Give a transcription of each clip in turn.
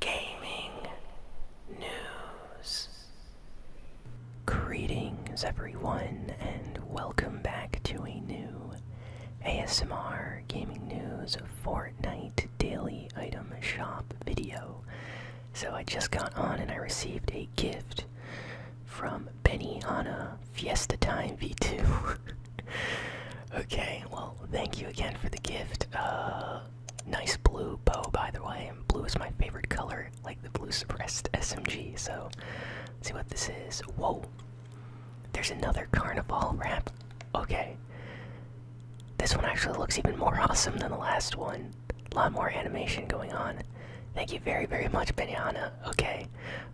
gaming news. Greetings, everyone, and welcome back to a new ASMR Gaming News Fortnite Daily Item Shop video. So, I just got on and I received a gift from Benihana Fiesta Time V2. okay, well, thank you again for the gift. Uh, Nice blue bow, by the way. Blue is my favorite color, like the blue suppressed SMG. So, see what this is. Whoa! There's another carnival wrap. Okay. This one actually looks even more awesome than the last one. A lot more animation going on. Thank you very, very much, Benyana. Okay.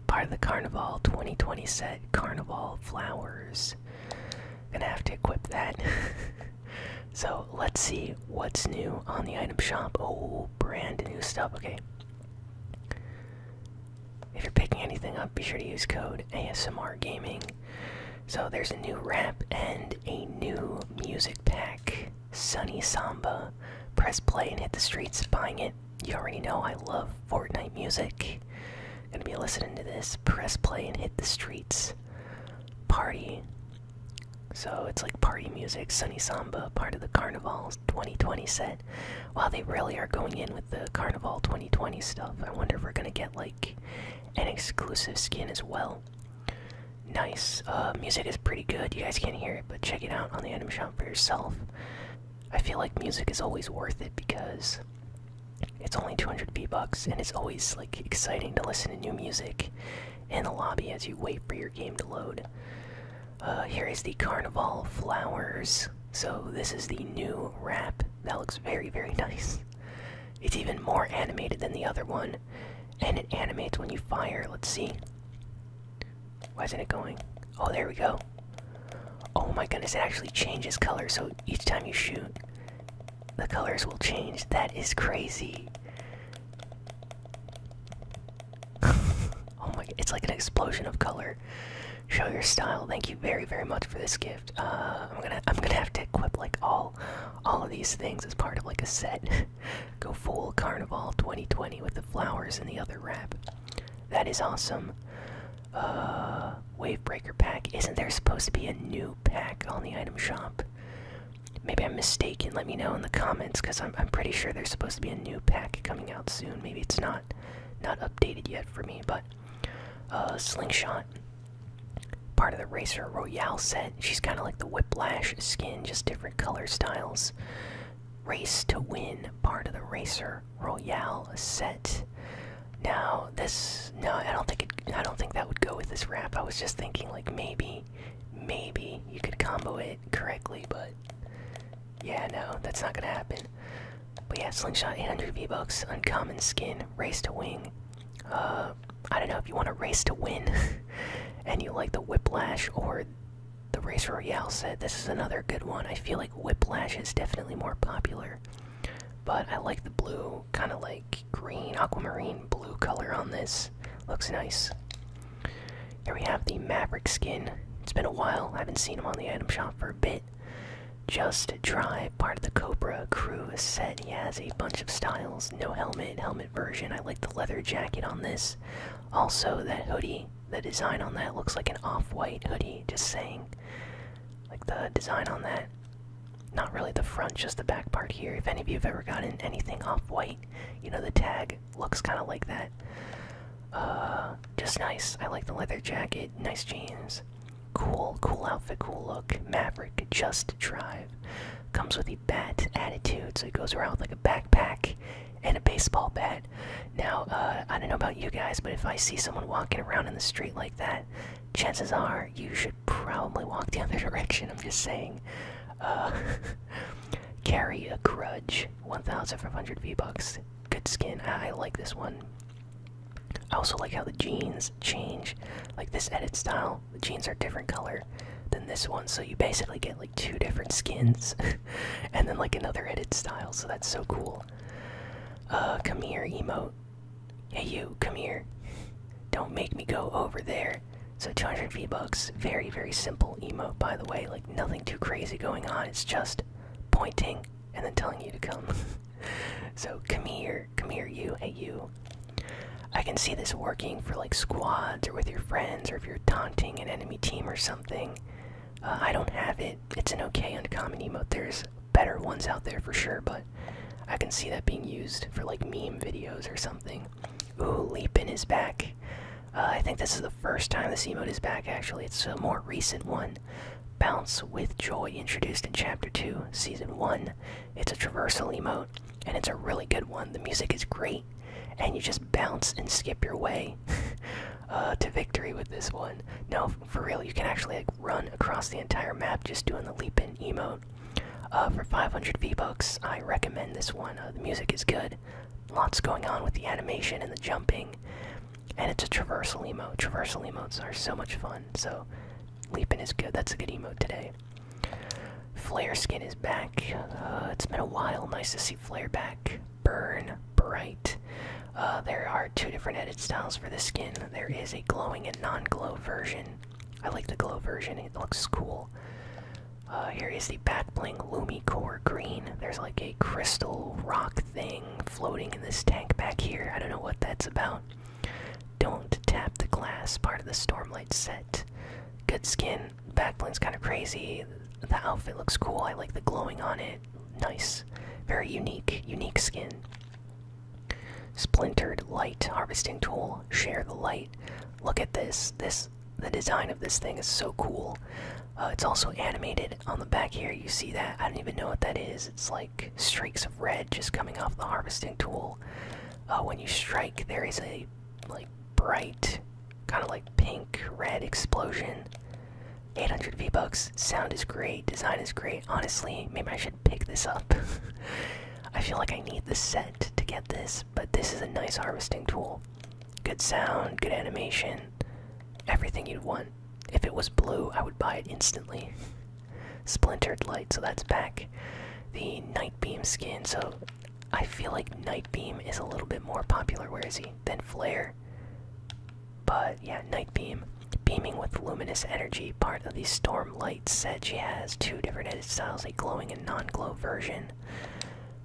Part of the Carnival 2020 set Carnival Flowers. Gonna have to equip that. so let's see what's new on the item shop. Oh, brand new stuff. Okay. If you're picking anything up, be sure to use code ASMR Gaming. So there's a new rap and a new music pack. Sunny Samba. Press play and hit the streets buying it. You already know I love Fortnite music. Gonna be listening to this. Press play and hit the streets party. So it's like party music, Sunny Samba, part of the carnival 2020 set. Wow, they really are going in with the Carnival 2020 stuff. I wonder if we're gonna get like an exclusive skin as well. Nice. Uh, music is pretty good. You guys can't hear it, but check it out on the item shop for yourself. I feel like music is always worth it because it's only 200 V-Bucks, and it's always like exciting to listen to new music in the lobby as you wait for your game to load. Uh, here is the Carnival Flowers. So this is the new wrap. That looks very, very nice. It's even more animated than the other one, and it animates when you fire. Let's see. Why isn't it going? Oh, there we go. Oh my goodness, it actually changes color, so each time you shoot, the colors will change. That is crazy. oh my it's like an explosion of color. Show your style. Thank you very, very much for this gift. Uh, I'm gonna, I'm gonna have to equip like all, all of these things as part of like a set. Go full carnival 2020 with the flowers and the other wrap. That is awesome. Uh, Wavebreaker pack. Isn't there supposed to be a new pack on the item shop? Maybe I'm mistaken. Let me know in the comments because I'm, I'm pretty sure there's supposed to be a new pack coming out soon. Maybe it's not not updated yet for me, but uh, Slingshot, part of the Racer Royale set. She's kind of like the Whiplash skin, just different color styles. Race to Win, part of the Racer Royale set. No, this no, I don't think it. I don't think that would go with this rap. I was just thinking like maybe, maybe you could combo it correctly, but yeah, no, that's not gonna happen. But yeah, slingshot 800 V bucks, uncommon skin, race to wing. Uh, I don't know if you want to race to win, and you like the whiplash or the race royale said This is another good one. I feel like whiplash is definitely more popular, but I like the blue kind of like green, aquamarine, blue color on this. Looks nice. Here we have the Maverick skin. It's been a while. I haven't seen him on the item shop for a bit. Just a Drive, part of the Cobra crew set. He has a bunch of styles. No helmet, helmet version. I like the leather jacket on this. Also, that hoodie, the design on that looks like an off white hoodie, just saying. Like the design on that, not really the front, just the back part here. If any of you have ever gotten anything off white, you know the tag looks kind of like that. Uh, just nice. I like the leather jacket, nice jeans. Cool, cool outfit, cool look. Maverick, just drive. Comes with a bat attitude, so he goes around with like a backpack and a baseball bat. Now, uh, I don't know about you guys, but if I see someone walking around in the street like that, chances are you should probably walk the other direction. I'm just saying. Uh, carry a grudge. 1,500 V bucks. Good skin. I, like this one. I also like how the jeans change. Like this edit style, the jeans are different color than this one, so you basically get like two different skins, and then like another edit style. So that's so cool. Uh, come here, emote. Hey, you, come here. Don't make me go over there. So 200 V-Bucks, very, very simple emote, by the way. Like, nothing too crazy going on. It's just pointing and then telling you to come. so, come here. Come here, you. Hey, you. I can see this working for, like, squads or with your friends or if you're taunting an enemy team or something. Uh, I don't have it. It's an okay uncommon emote. There's better ones out there for sure, but I can see that being used for like meme videos or something. Ooh, in his back. Uh, I think this is the first time the C emote is back, actually. It's a more recent one. Bounce with Joy, introduced in Chapter 2, Season 1. It's a traversal emote, and it's a really good one. The music is great, and you just bounce and skip your way uh, to victory with this one. No for real, you can actually like, run across the entire map just doing the leap in emote. Uh, for 500 V-Bucks, I recommend this one. Uh, the music is good. Lots going on with the animation and the jumping. And it's a traversal emote. Traversal emotes are so much fun. So, leaping is good. That's a good emote today. Flare skin is back. Uh, it's been a while. Nice to see Flare back. Burn bright. Uh, there are two different edit styles for the skin. There is a glowing and non-glow version. I like the glow version. It looks cool. Uh, here is the back bling Lumi Core Green. There's like a crystal rock thing floating in this tank back here. I don't know what that's about. Don't tap the glass. Part of the Stormlight set. Good skin. Back bling's kind of crazy. The outfit looks cool. I like the glowing on it. Nice. Very unique. Unique skin. Splintered light harvesting tool. Share the light. Look at this. This the design of this thing is so cool. Uh, it's also animated on the back here. You see that? I don't even know what that is. It's like streaks of red just coming off the harvesting tool. Uh, when you strike, there is a like bright, kind of like pink red explosion. 800 V bucks. Sound is great. Design is great honestly, maybe I should pick this up. I feel like I need the set to get this, but this is a nice harvesting tool. Good sound, good animation, everything you'd want. If it was blue, I would buy it instantly. Splintered light, so that's back. The Night Beam skin, so I feel like Night Beam is a little bit more popular, where is he, than Flare. But yeah, Night Beam, beaming with luminous energy, part of the Storm Light Said She has two different styles: a glowing and non-glow version.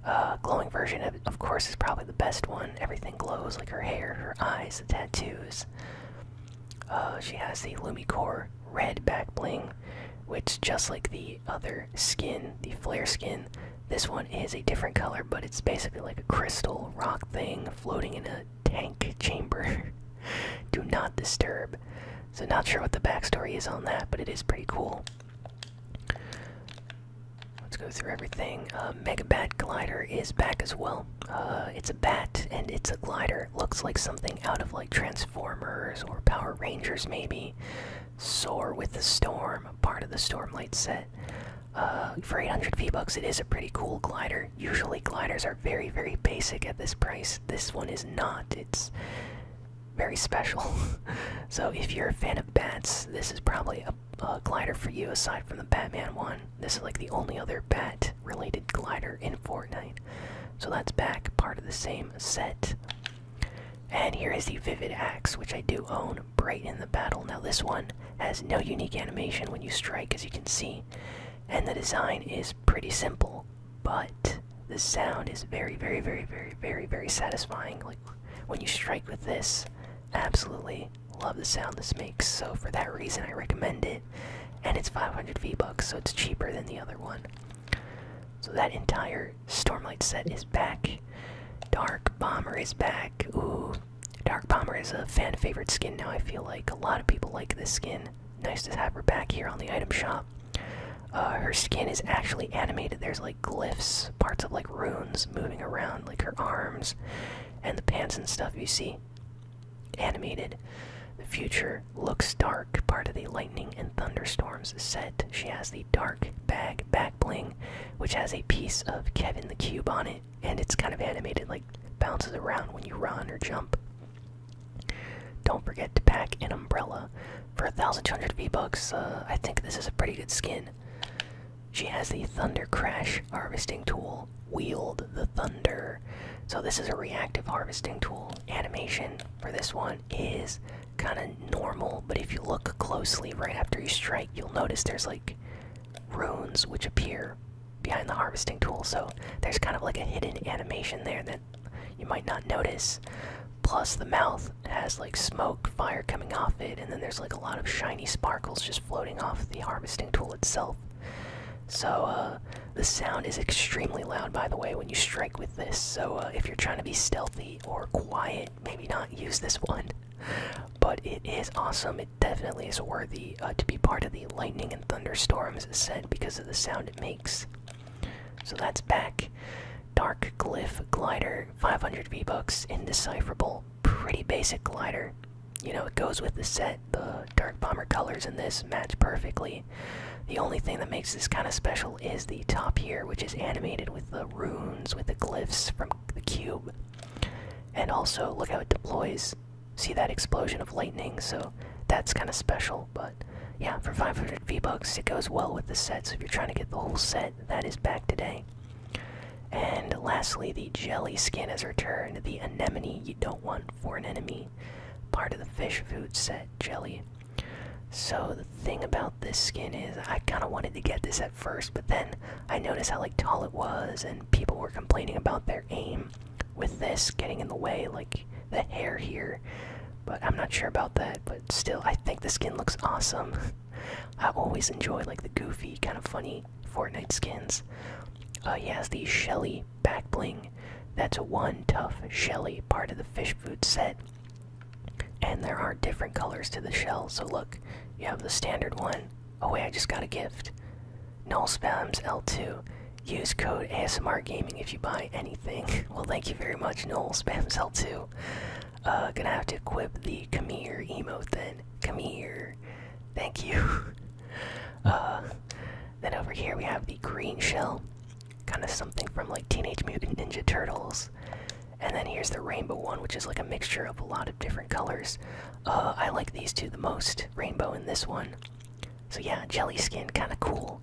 Uh, glowing version, of, course, is probably the best one. Everything glows, like her hair, her eyes, the tattoos. Uh, she has the Lumicore red back bling, which just like the other skin, the flare skin, this one is a different color, but it's basically like a crystal rock thing floating in a tank chamber. Do not disturb. So, not sure what the backstory is on that, but it is pretty cool. Let's go through everything. Uh, Mega Bat Glider is back as well. Uh, it's a bat and it's a glider. Looks like something out of like Transformers or Power Rangers, maybe. Soar with the Storm, part of the Stormlight set. Uh, for 800 V-Bucks, it is a pretty cool glider. Usually gliders are very, very basic at this price. This one is not. It's very special. so if you're a fan of bats, this is probably a, a glider for you aside from the Batman one. This is like the only other bat-related glider in Fortnite. So that's back, part of the same set. And here is the Vivid Axe, which I do own, Bright in the Battle. Now this one has no unique animation when you strike, as you can see, and the design is pretty simple, but the sound is very, very, very, very, very, very satisfying. Like when you strike with this, absolutely love the sound this makes. So for that reason, I recommend it, and it's 500 V bucks, so it's cheaper than the other one. So that entire Stormlight set is back. Dark Bomber is back. Ooh, Dark Palmer is a fan favorite skin now. I feel like a lot of people like this skin. Nice to have her back here on the item shop. Uh, her skin is actually animated. There's like glyphs, parts of like runes moving around, like her arms and the pants and stuff you see. Animated. The future looks dark, part of the lightning and thunderstorms set. She has the dark bag back bling, which has a piece of Kevin the Cube on it and it's kind of animated, like bounces around when you run or jump. Don't forget to pack an umbrella. For a thousand hundred V bucks, uh, I think this is a pretty good skin. She has the Thunder Crash harvesting tool. Wield the thunder. So this is a reactive harvesting tool. Animation for this one is kind of normal, but if you look closely right after you strike, you'll notice there's like runes which appear behind the harvesting tool so there's kind of like a hidden animation there that you might not notice plus the mouth has like smoke fire coming off it and then there's like a lot of shiny sparkles just floating off the harvesting tool itself so uh, the sound is extremely loud by the way when you strike with this so uh, if you're trying to be stealthy or quiet maybe not use this one but it is awesome definitely is worthy uh, to be part of the lightning and thunderstorms set because of the sound it makes. So that's back. Dark Glyph Glider, 500 V-Bucks, indecipherable. Pretty basic glider. You know, it goes with the set. The Dark Bomber colors in this match perfectly. The only thing that makes this kind of special is the top here, which is animated with the runes, with the glyphs from the cube. And also, look how it deploys see that explosion of lightning, so that's kind of special. But yeah, for 500 V-Bucks, it goes well with the set, so if you're trying to get the whole set, that is back today. And lastly, the jelly skin has returned, the anemone you don't want for an enemy, part of the fish food set, jelly. So the thing about this skin is I kind of wanted to get this at first, but then I noticed how like tall it was and people were complaining about their aim with this getting in the way, like the hair here. But I'm not sure about that. But still, I think the skin looks awesome. I always enjoy like the goofy, kind of funny Fortnite skins. Uh, he has the Shelly back bling. That's one tough Shelly part of the fish food set. And there are different colors to the shell. So look, you have the standard one, Oh wait, I just got a gift. Null spams L2. Use code ASMR Gaming if you buy anything. well, thank you very much, Null spams L2. Uh, gonna have to equip the come here emote then. Come here. Thank you. Uh, then over here we have the green shell, kind of something from like Teenage Mutant Ninja Turtles. And then here's the rainbow one, which is like a mixture of a lot of different colors. Uh, I like these two the most. Rainbow and this one. So yeah, jelly skin, kind of cool,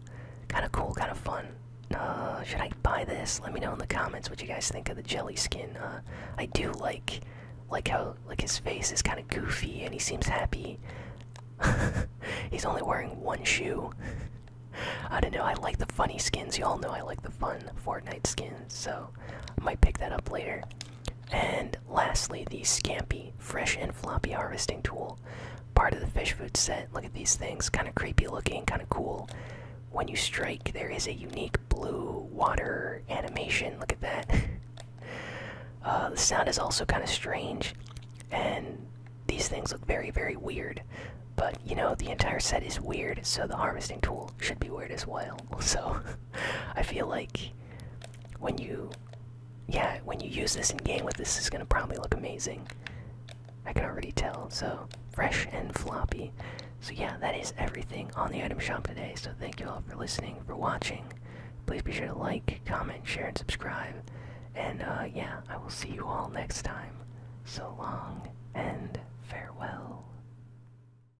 kind of cool, kind of fun. Uh, should I buy this? Let me know in the comments what you guys think of the jelly skin. Uh, I do like, like how like his face is kind of goofy and he seems happy. He's only wearing one shoe. I don't know. I like the funny skins. You all know I like the fun Fortnite skins, so I might pick that up later. And lastly, the Scampy Fresh and Floppy Harvesting Tool. Part of the fish food set. Look at these things, kind of creepy looking, kind of cool. When you strike, there is a unique blue water animation. Look at that. Uh, the sound is also kind of strange, and these things look very, very weird. But you know, the entire set is weird, so the harvesting tool should be weird as well. So, I feel like when you, yeah, when you use this in game with this is gonna probably look amazing. I can already tell. So fresh and floppy. So yeah, that is everything on the item shop today. So thank you all for listening, for watching. Please be sure to like, comment, share, and subscribe. And uh, yeah, I will see you all next time. So long and farewell.